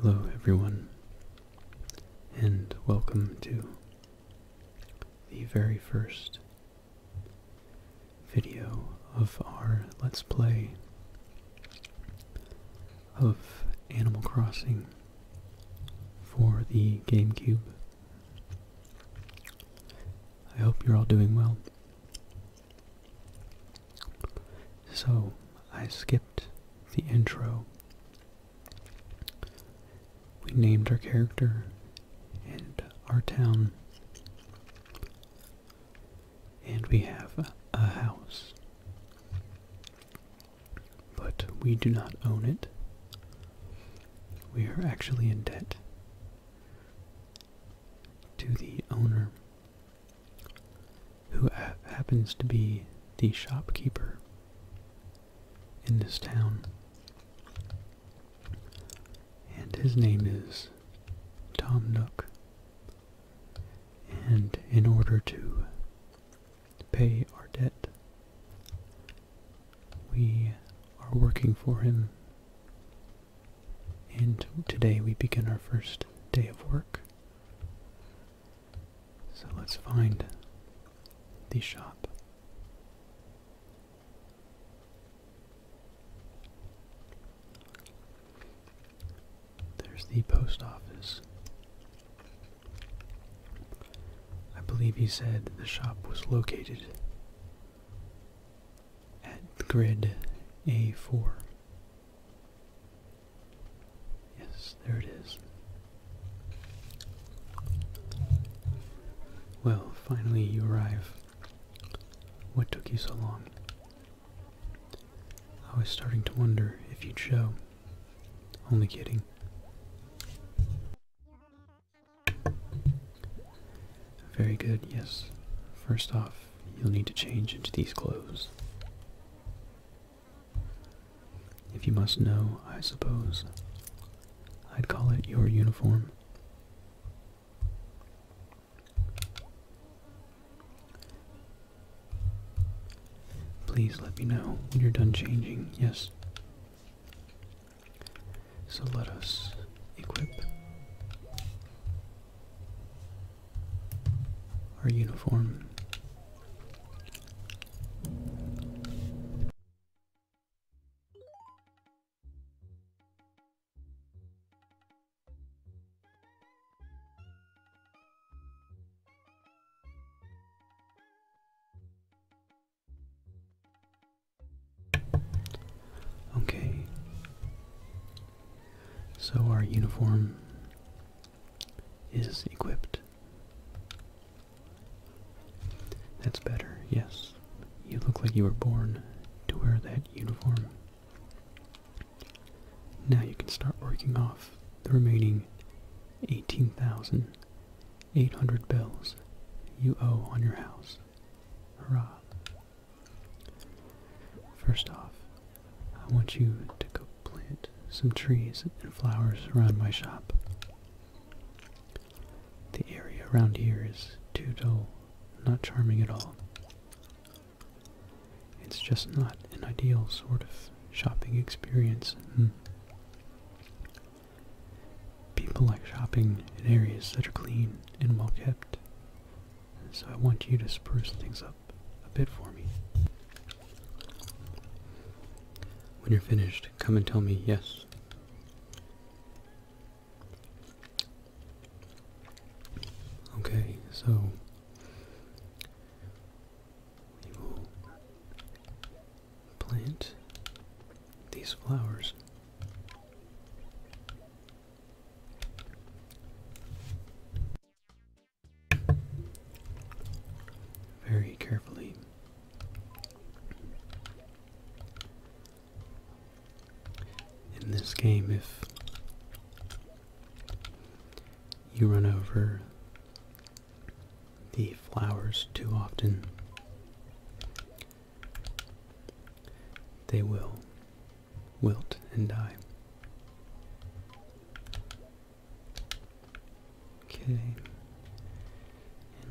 Hello, everyone, and welcome to the very first video of our Let's Play of Animal Crossing for the GameCube. I hope you're all doing well. So, I skipped the intro. We named our character and our town. And we have a house but we do not own it. We are actually in debt to the owner, who happens to be the shopkeeper in this town. And his name is Tom Nook. And in order to pay our debt, we are working for him. And today we begin our first day of work. So let's find the shop. There's the post office. I believe he said the shop was located at grid A4. Yes, there it is. Well, finally you arrive. What took you so long? I was starting to wonder if you'd show. Only kidding. Very good, yes. First off, you'll need to change into these clothes. If you must know, I suppose, I'd call it your uniform. Please let me know when you're done changing, yes? So let us equip our uniform. Okay. So our uniform is equipped. That's better, yes. You look like you were born to wear that uniform. Now you can start working off the remaining 18,000 Eight hundred bills you owe on your house. Hurrah. First off, I want you to go plant some trees and flowers around my shop. The area around here is too dull, not charming at all. It's just not an ideal sort of shopping experience. Hmm. People like shopping in areas that are clean and well kept. So I want you to spruce things up a bit for me. When you're finished, come and tell me yes. Okay, so plant these flowers. Very carefully. In this game, if you run over the flowers too often, they will wilt and die. Okay,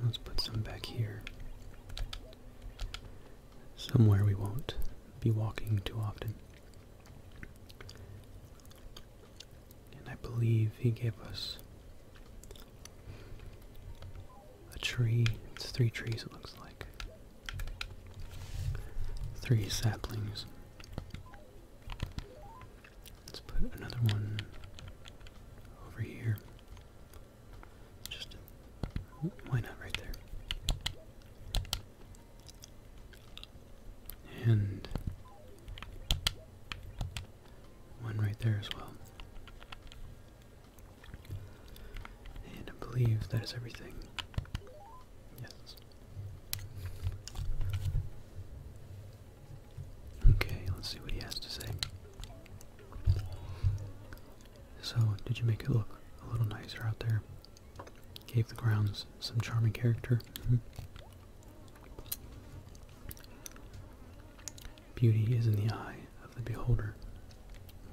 let's put some back here. Somewhere we won't be walking too often. And I believe he gave us a tree. It's three trees, it looks like. Three saplings. Let's put another one over here. Just why not right there? And one right there as well. And I believe that is everything. Yes. Okay, let's see what he has to say. So, did you make it look a little nicer out there? Gave the grounds some charming character. Mm-hmm. Beauty is in the eye of the beholder,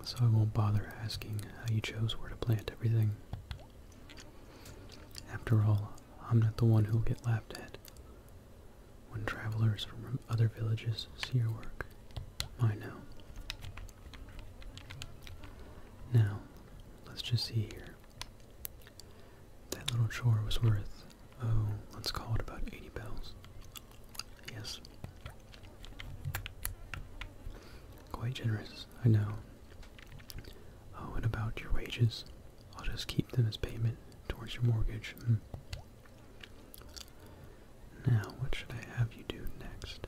so I won't bother asking how you chose where to plant everything. After all, I'm not the one who'll get laughed at when travelers from other villages see your work. I know. Now, let's just see here. That little chore was worth Oh, let's call it about 80 bells. Yes. Quite generous, I know. Oh, and about your wages? I'll just keep them as payment towards your mortgage. Hmm. Now, what should I have you do next?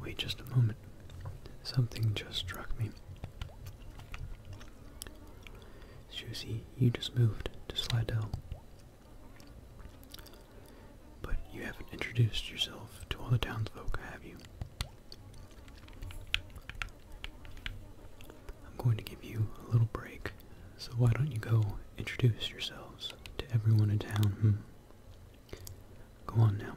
Wait just a moment. Something just struck me. Susie, you just moved to Slidell. But you haven't introduced yourself to all the townsfolk, have you? I'm going to give you a little break, so why don't you go introduce yourselves to everyone in town, hmm? Go on now.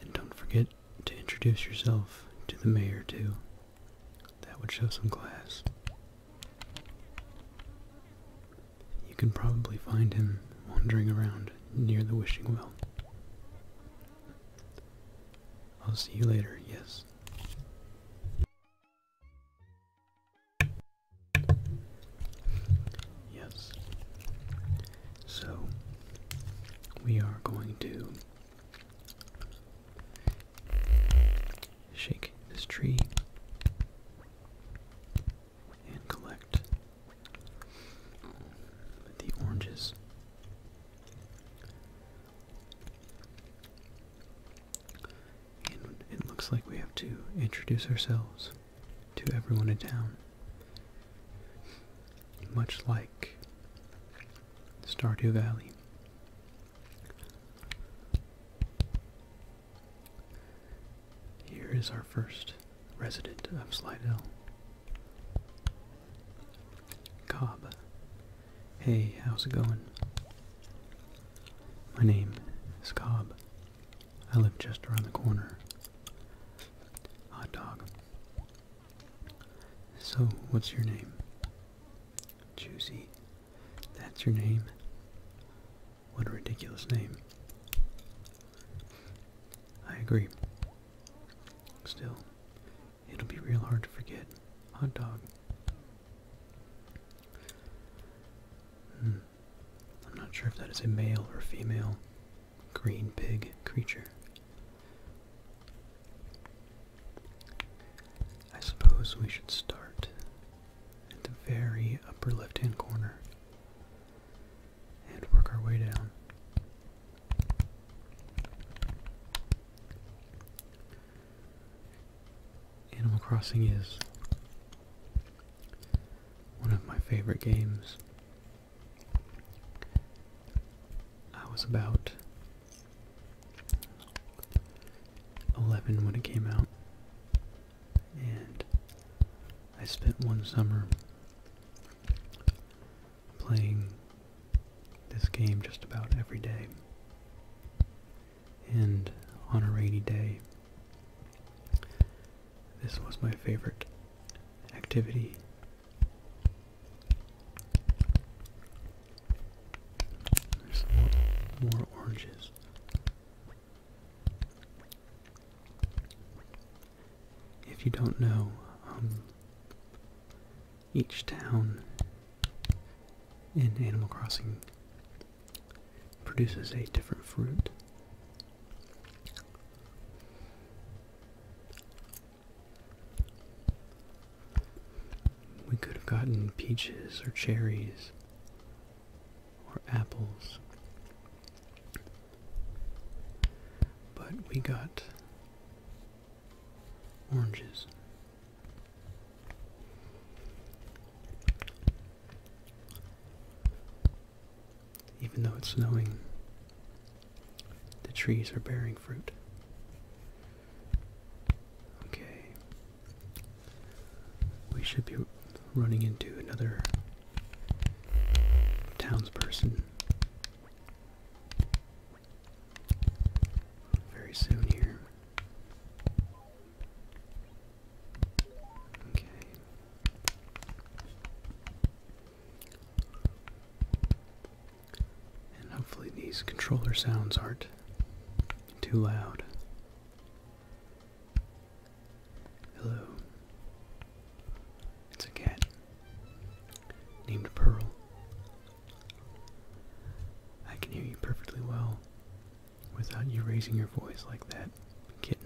And don't forget to introduce yourself to the mayor, too. That would show some class. You can probably find him wandering around near the wishing well. I'll see you later, yes. Yes. So, we are going to shake this tree and collect the oranges. And it looks like we have to introduce ourselves to everyone in town much like Stardew Valley. Here is our first resident of Slidell. Cobb. Hey, how's it going? My name is Cobb. I live just around the corner. Hot dog. So, what's your name? Juicy. That's your name? What a ridiculous name. I agree. Still, it'll be real hard to forget. Hot dog. Hmm. I'm not sure if that is a male or female green pig creature. I suppose we should start at the very upper left-hand corner and work our way down. Animal Crossing is one of my favorite games. I was about 11 when it came out, and I spent one summer playing this game just about every day. And on a rainy day, this was my favorite activity there's more, oranges. If you don't know, um, each town in Animal Crossing produces a different fruit. We could have gotten peaches or cherries or apples. But we got oranges. Even though it's snowing, the trees are bearing fruit. Okay. We should be running into another townsperson very soon here. Okay. And hopefully these controller sounds aren't too loud. Hello. It's a cat named Pearl. I can hear you perfectly well without you raising your voice like that, kitten.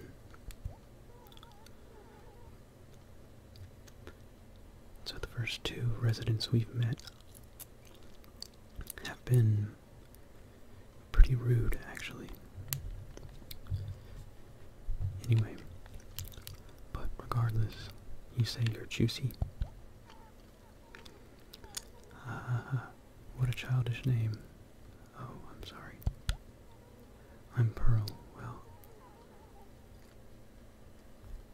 So the first two residents we've met have been pretty rude, actually. Anyway, but regardless, you say you're juicy. Uh, what a childish name. Oh, I'm sorry. I'm Pearl. Well,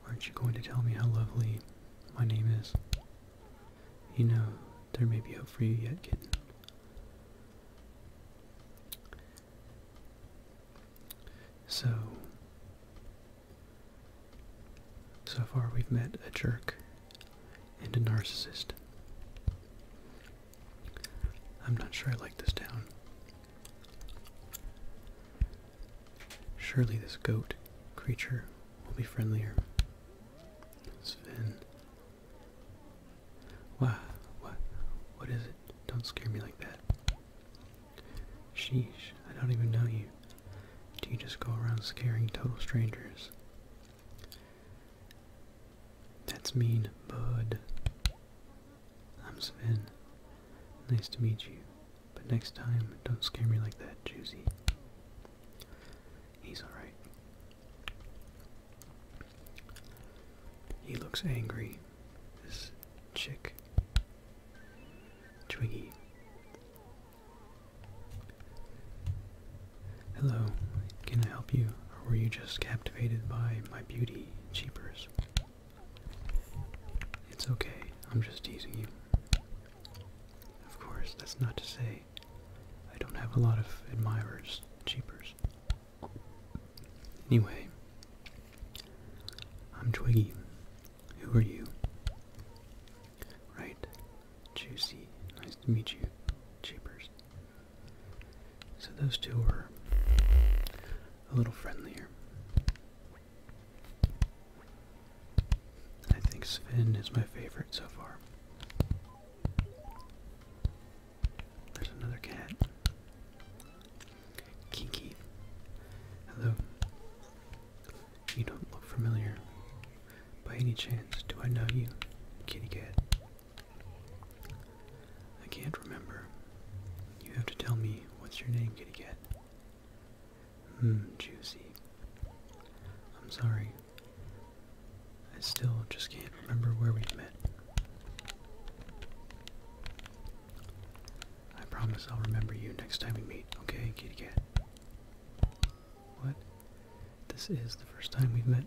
Aren't you going to tell me how lovely my name is? You know, there may be hope for you yet, kitten. So, so far we've met a jerk and a narcissist. I'm not sure I like this town. Surely this goat creature will be friendlier. Sven. What? What? What is it? Don't scare me like that. Sheesh, I don't even know you. Do you just go around scaring total strangers? That's mean, bud. I'm Sven. Nice to meet you. But next time, don't scare me like that, Juicy. He's alright. He looks angry. This chick. Twiggy. Hello, can I help you? Or were you just captivated by my beauty, Cheapers? It's okay, I'm just teasing you. Of course, that's not to say I don't have a lot of admirers, cheapers. Anyway, I'm Twiggy. Who are you? Right, Juicy. Nice to meet you, cheapers. So those two were a little friendlier. I think Sven is my favorite so far. There's another cat. Kiki. Hello. You don't look familiar. By any chance, do I know you, kitty cat? I can't remember. You have to tell me what's your name, Kitty Cat. Hmm, juicy. I'm sorry. I still just can't remember where we've met. I promise I'll remember you next time we meet, okay, kitty cat? What? This is the first time we've met?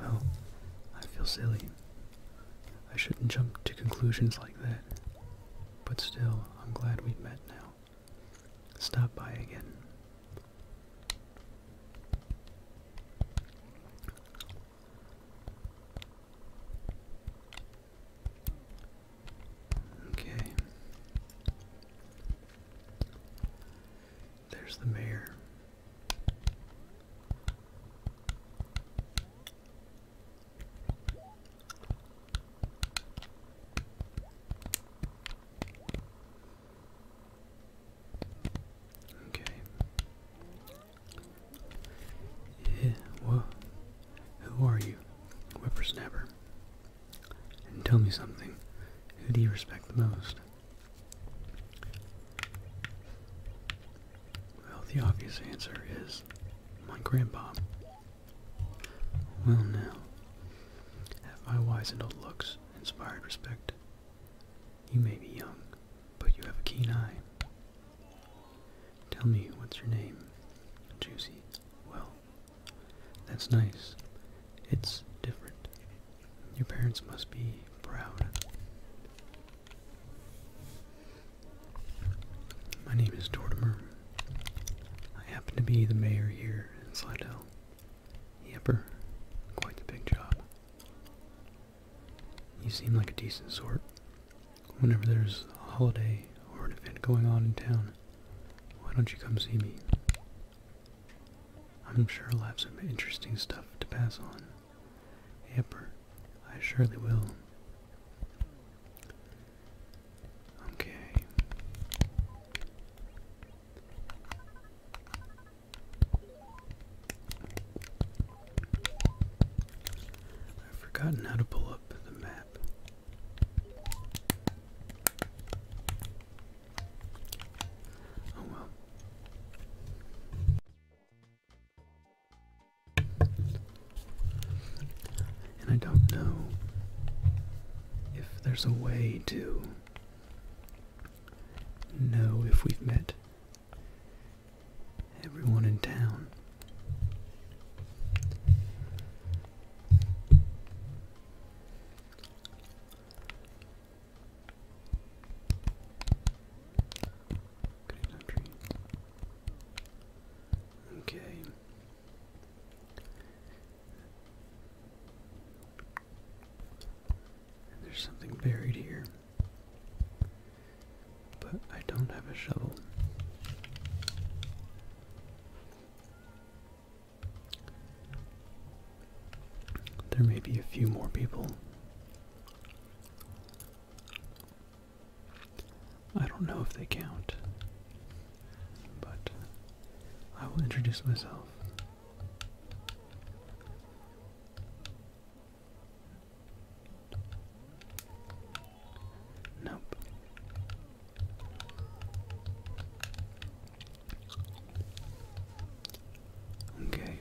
Well, I feel silly. I shouldn't jump to conclusions like that. But still, I'm glad we've met now. Stop by again. Okay. There's the mayor. Okay. Yeah, well, who are you, whippersnapper? And tell me something. Who do you respect the most? Well, the obvious answer is my grandpa. Well, now, have my wise and old looks inspired respect? You may be young, but you have a keen eye. Tell me, what's your name? Juicy. Well, that's nice. It's different. Your parents must be proud. My name is Tortimer. I happen to be the mayor here in Slidell. Yepper, quite the big job. You seem like a decent sort. Whenever there's a holiday or an event going on in town, why don't you come see me? I'm sure I'll have some interesting stuff to pass on. Amber, I surely will. Okay. I've forgotten how to pull up the map. Oh well. And I don't know if there's a way to know if we've met everyone in town. Okay. there's something buried here. But I don't have a shovel. There may be a few more people. I don't know if they count, but I will introduce myself. Nope. Okay.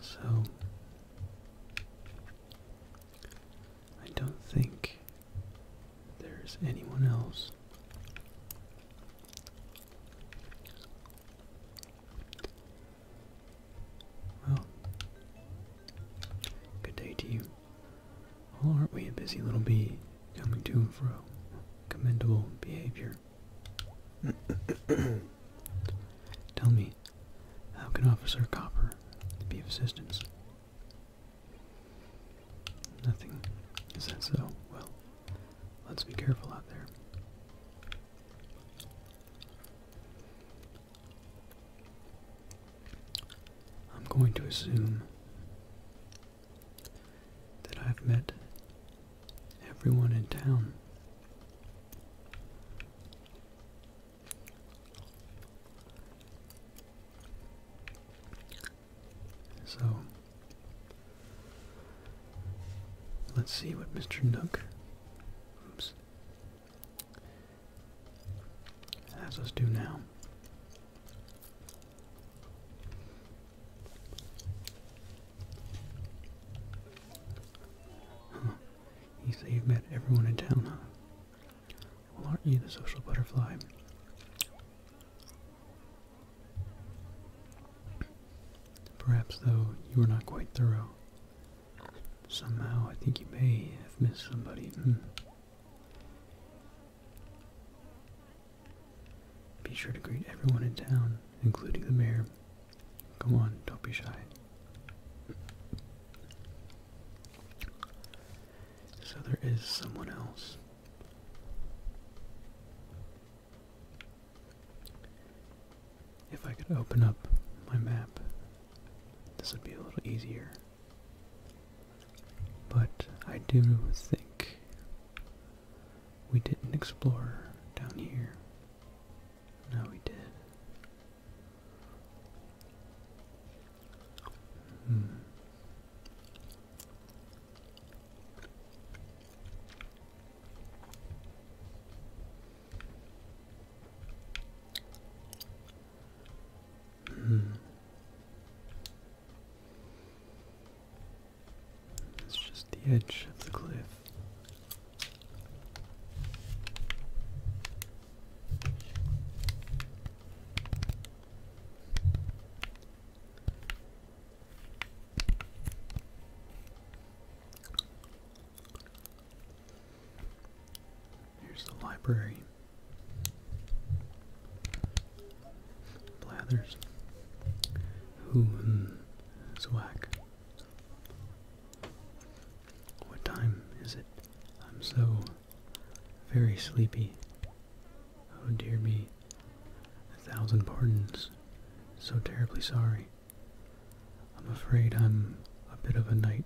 So I don't think there's anyone else. Well, good day to you. Oh, aren't we a busy little bee coming to and fro? Commendable behavior. Tell me, how can Officer Copper be of assistance? Nothing. Is that so? Well, let's be careful out there. I'm going to assume that I've met everyone in town. So let's see what Mr. Nook oops, has us do now. You say you've met everyone in town, huh? Well, aren't you the social butterfly? Perhaps, though, you were not quite thorough. Somehow, I think you may have missed somebody. Hmm. Be sure to greet everyone in town, including the mayor. Come on, don't be shy. So there is someone else. If I could open up my map, this would be a little easier. But I do think we didn't explore down here. No, we did. Hmm. Hmm. It's just the edge of the cliff. Here's the library. Blathers. Who? Zwack. What time is it? I'm so very sleepy. Oh dear me. A thousand pardons. So terribly sorry. I'm afraid I'm a bit of a night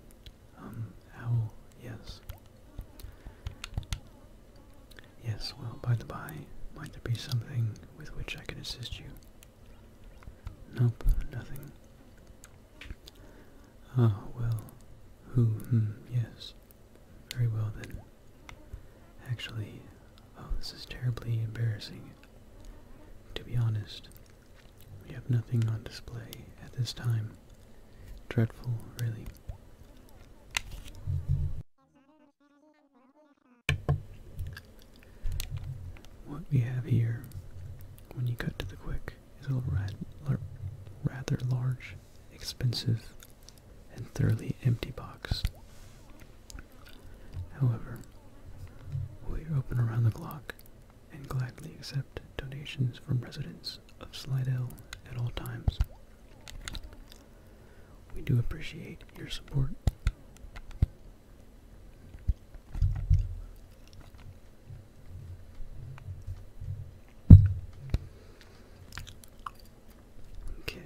um owl, yes. Yes, well, by the by, might there be something with which I can assist you? Nope, nothing. Ah, well. Who, hmm, yes. Very well then. Actually, oh, this is terribly embarrassing. To be honest, we have nothing on display at this time. Dreadful, really. What we have here, when you cut to the quick, is a rather large, expensive, and thoroughly empty box. However, we are open around the clock and gladly accept donations from residents of Slidell at all times. We do appreciate your support. Okay.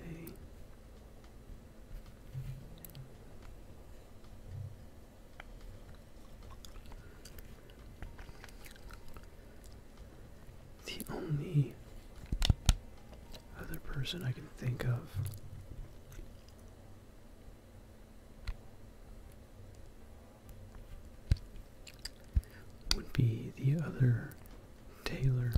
The only other person I can think of would be the other tailor.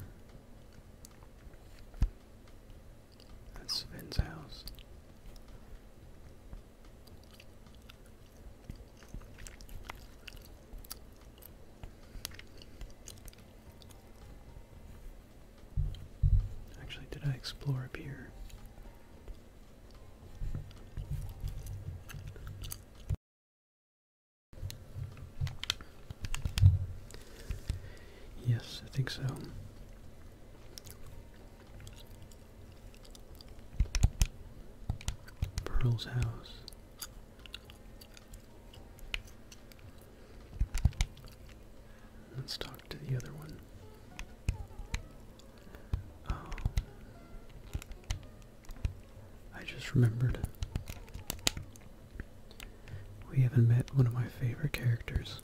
That's Sven's house. Actually, did I explore up here? Yes, I think so. Pearl's house. Let's talk to the other one. Oh. I just remembered. We haven't met one of my favorite characters.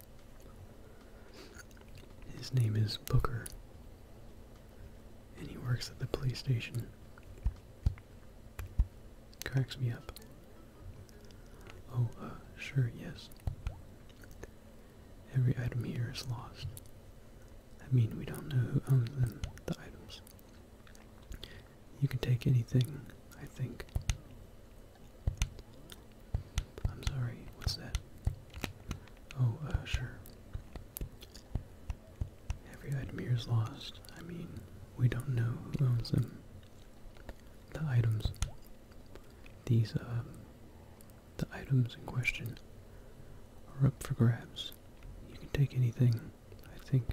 His name is Booker. And he works at the police station. Cracks me up. Oh, uh, sure, yes. Every item here is lost. I mean, we don't know who owns them, the items. You can take anything, I think. I'm sorry, what's that? Oh, uh, sure. Every item here is lost. I mean, we don't know who owns them. The items these uh, the items in question are up for grabs. You can take anything, I think.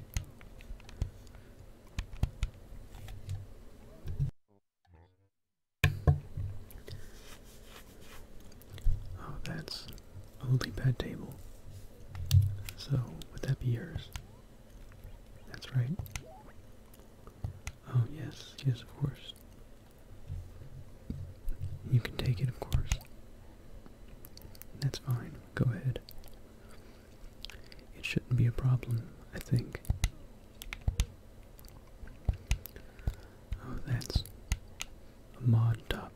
Oh, that's a leapad table. So, would that be yours? That's right. Oh, yes, yes, of course. You can take it, of course. That's fine. Go ahead. It shouldn't be a problem, I think. Oh, that's a mod top.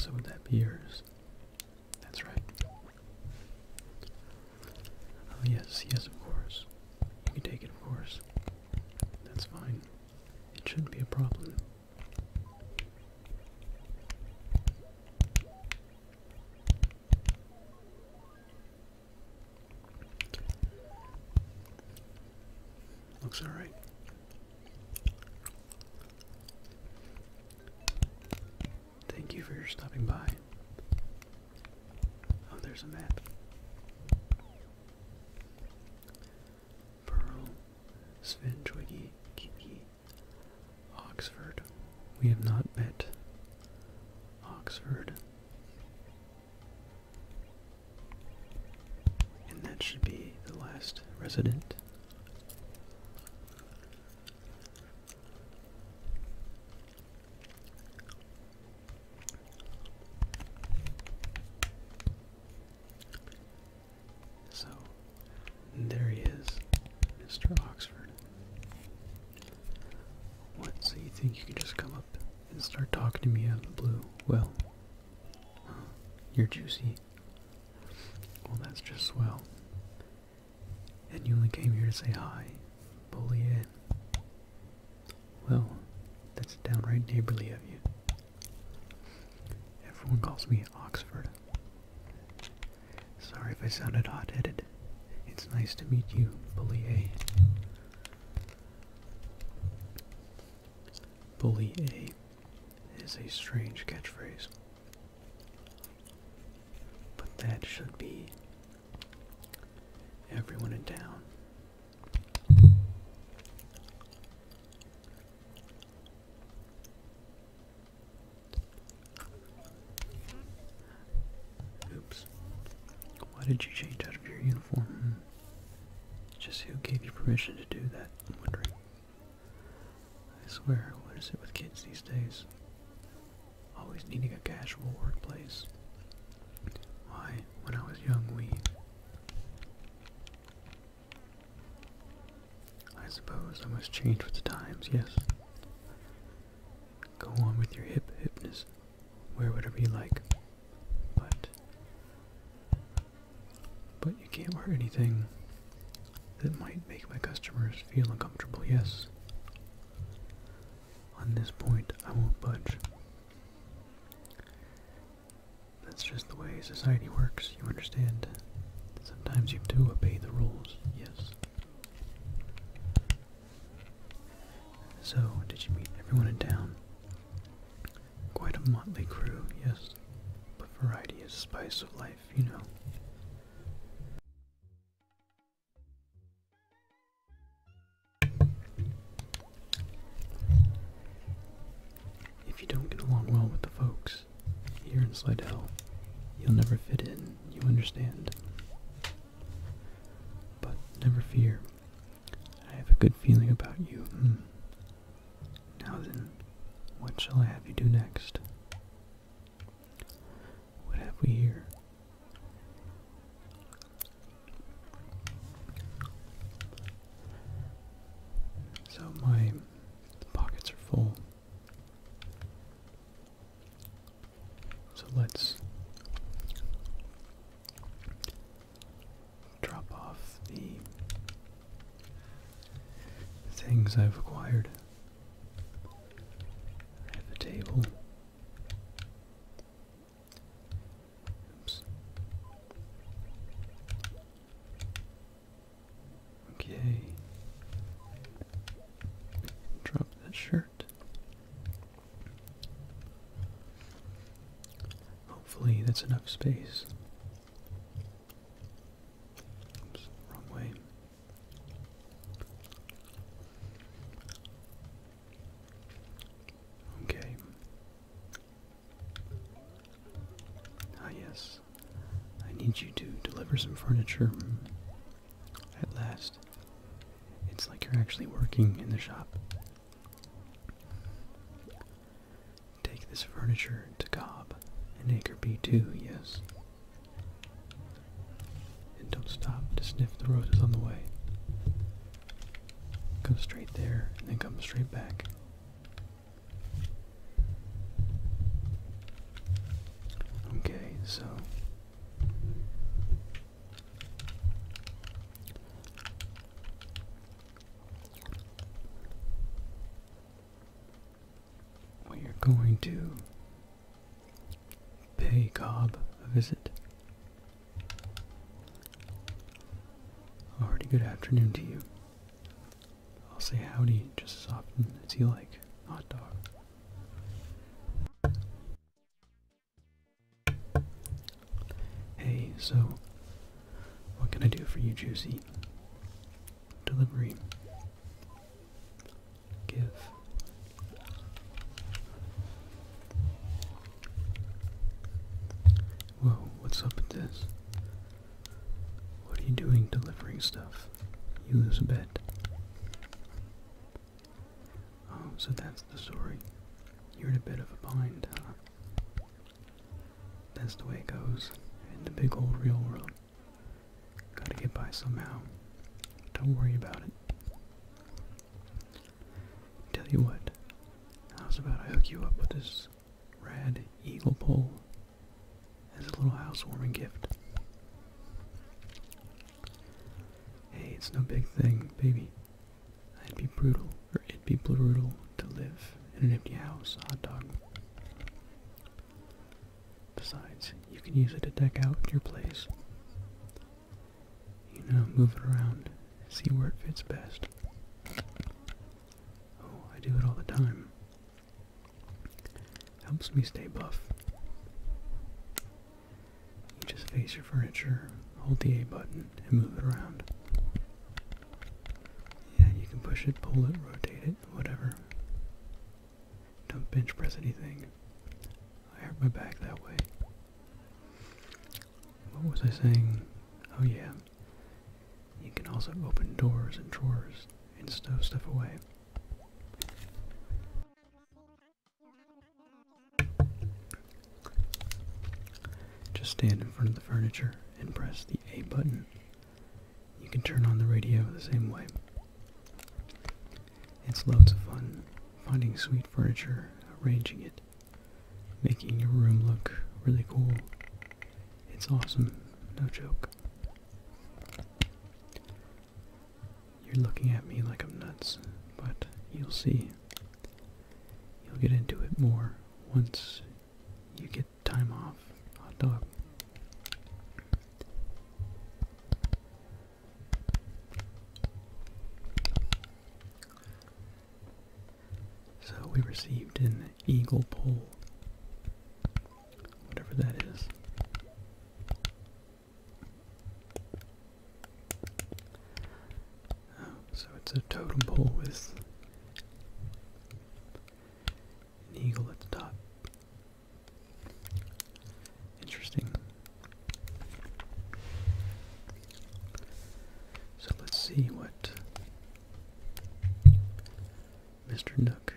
So would that be yours? That's right. Oh, yes, yes, of course. You can take it, of course. That's fine. It shouldn't be a problem. Looks alright. Thank you for your stopping by. Oh, there's a map. Pearl, Sventwiggy, Kiki, Oxford. We have not met Oxford. And that should be the last resident. So there he is, Mr. Oxford. What, so you think you can just come up and start talking to me out of the blue? Well, you're juicy. Well, that's just swell. And you only came here to say hi. Bully eh? Well, that's downright neighborly of you. Everyone calls me Oxford. Sorry if I sounded hot-headed. It's nice to meet you, Bully A. Bully A is a strange catchphrase. But that should be Everyone in town. Oops. Why did you change out of your uniform? Just who gave you permission to do that? i I swear, what is it with kids these days? Always needing a casual workplace. Why, when I was young, we. I suppose I must change with the times, yes. Go on with your hip hipness. Wear whatever you like. But. But you can't wear anything that might make my customers feel uncomfortable, yes. On this point, I won't budge. That's just the way society works, you understand? Sometimes you do obey the rules, yes. So, did you meet everyone in town? Quite a motley crew, yes. But variety is spice of life, you know. If you don't get along well with the folks here in Slidell, you'll never fit in, you understand. But never fear, I have a good feeling about you. Hmm. Now then, what shall I have you do next? What have we here? So my pockets are full. So let's drop off the things I've acquired. I have table. Okay. Drop that shirt. Hopefully that's enough space. wrong way. Okay. Ah, yes. I need you to deliver some furniture. At last. It's like you're actually working in the shop. Take this furniture to Cobb and Acre B2, yes. And don't stop to sniff the roses on the way. Go straight there and then come straight back. Okay, so we are going to pay Cobb a visit Already good afternoon to you. I'll say howdy just as often as you like, hot dog. Hey, so what can I do for you, Juicy? Delivery. Give. Whoa, what's up with this? What are you doing delivering stuff? You lose a bet. Oh, so that's the story. You're in a bit of a bind, That's the way it goes in the big old real world. Gotta get by somehow. Don't worry about it. Tell you what, how's about I hook you up with this red eagle pole as a little housewarming gift? Hey, it's no big thing, baby. I'd be brutal, or it'd be brutal to live in an empty house, hot dog. Besides, you can use it to deck out your place you know, move it around, see where it fits best. Oh, I do it all the time. Helps me stay buff. just face your furniture, hold the A button, and move it around. Yeah, you can push it, pull it, rotate it, whatever. Don't bench press anything. I hurt my back that way. What was I saying? Oh yeah. You can also open doors and drawers and stow stuff away. Just stand in front of the furniture and press the A button. You can turn on the radio the same way. It's loads of fun finding sweet furniture, arranging it, making your room look really cool. It's awesome, no joke. You're looking at me like I'm nuts, but you'll see. You'll get into it more once you get time off. Hot dog. So we received an eagle pole, whatever that is. Oh, so it's a totem pole with an eagle at the top. Interesting. So let's see what Mr. Nook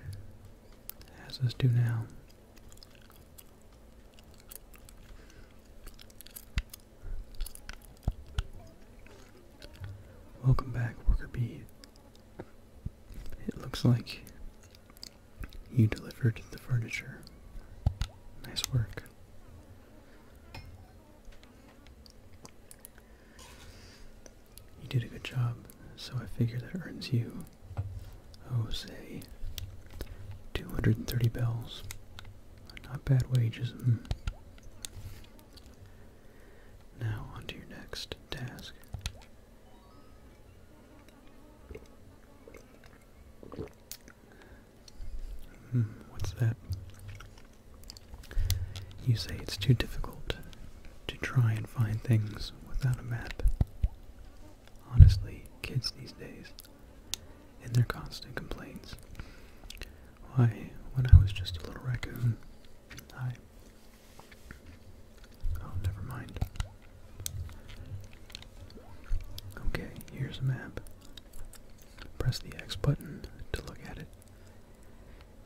has us do now. Welcome back, Worker Bee. It looks like you delivered the furniture. Nice work. You did a good job, so I figure that earns you, oh, say, 230 bells. Not bad wages. Hmm. Now, on your next task. Hmm, what's that? You say it's too difficult to try and find things without a map. Honestly, kids these days, and their constant complaints. Why, when I was just a little raccoon, I... Oh, never mind. Okay, here's a map. Press the X button to look at it.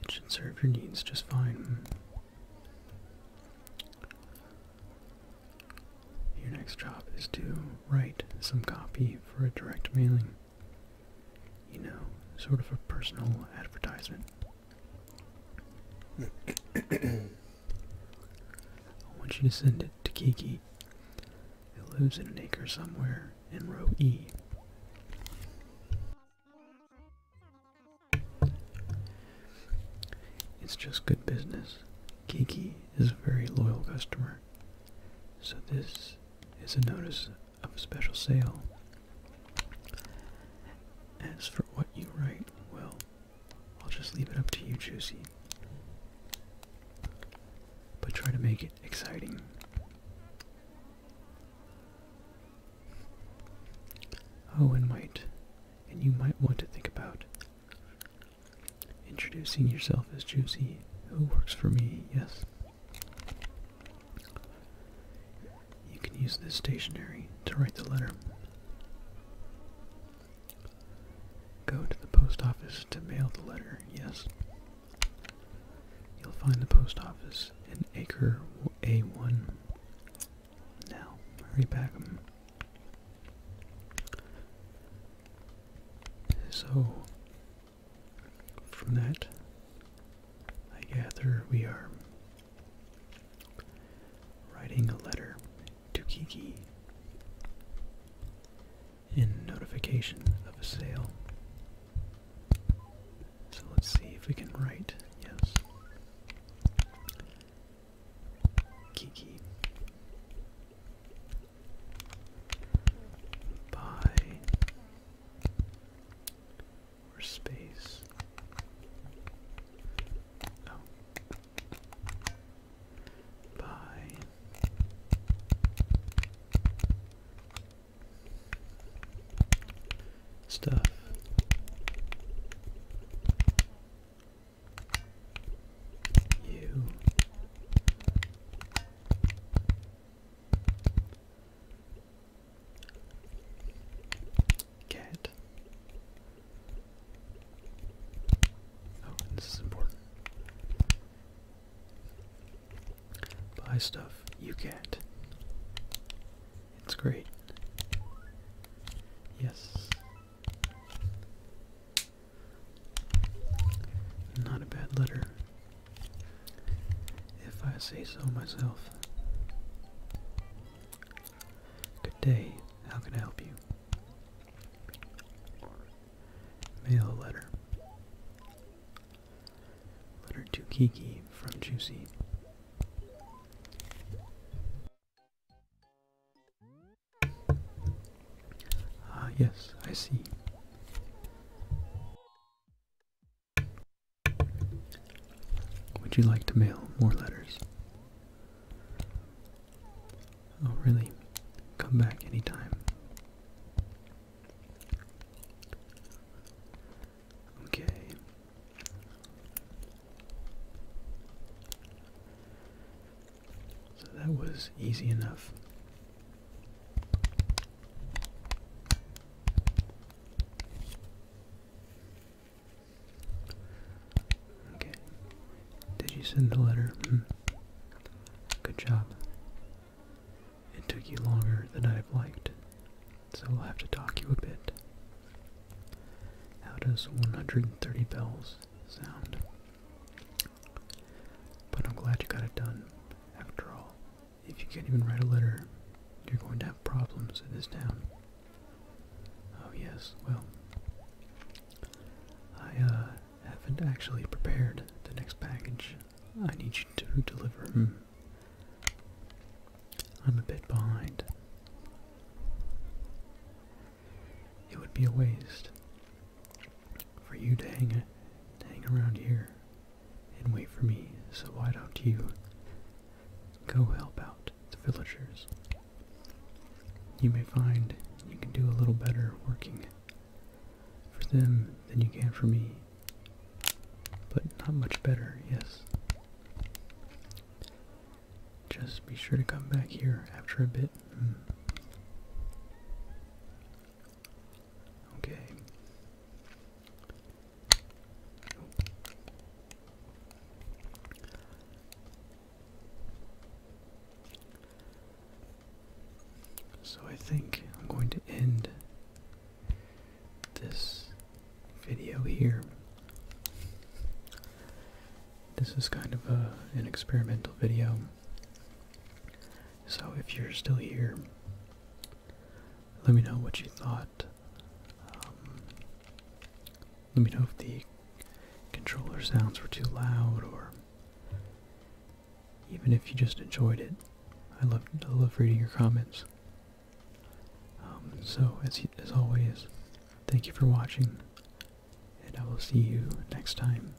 It should serve your needs just fine. Your next job is to write some copy for a direct mailing. You know, sort of a personal advertisement. I want you to send it to Kiki E. It lives in an acre somewhere in row E. It's just good business. Kiki is a very loyal customer. So this is a notice of a special sale. As for what you write, well, I'll just leave it up to you, Juicy. But try to make it exciting. Oh, and might, and you might want to think about introducing yourself as Juicy. Who works for me? Yes. You can use this stationery to write the letter. Go to the post office to mail the letter, yes. You'll find the post office in acre A1. Now, hurry back So, from that, I gather we are writing a letter to Kiki. In notification of a sale. So let's see if we can write, yes. Kiki. Buy. Or space. Oh by stuff you get. Oh, this is important buy stuff you can't. It's great. Yes. Not a bad letter, if I say so myself. Good day. How can I help you? Mail letter. Letter to Kiki from Juicy. Ah, yes, I see. Would you like to mail more letters? Oh, really? Come back anytime. Okay. So that was easy enough. Okay. Did you send the letter? Hmm. Good job. It took you longer than I'd have liked, so I'll have to talk you a bit. How does 130 bells sound? But I'm glad you got it done. After all, if you can't even write a letter, you're going to have problems in this town. Oh yes, well, I, uh, haven't actually prepared the next package. I need you to deliver. Hmm. I'm a bit behind. It would be a waste for you to hang, to hang around here and wait for me, so why don't you go help out the villagers? You may find you can do a little better working for them than you can for me, but not much better, yes. Just be sure to come back here after a bit. Hmm. Okay. So I think I'm going to end this video here. This is kind of a, an experimental video. So if you're still here, let me know what you thought. Um, let me know if the controller sounds were too loud or even if you just enjoyed it. I love reading your comments. Um, so as as always, thank you for watching, and I will see you next time.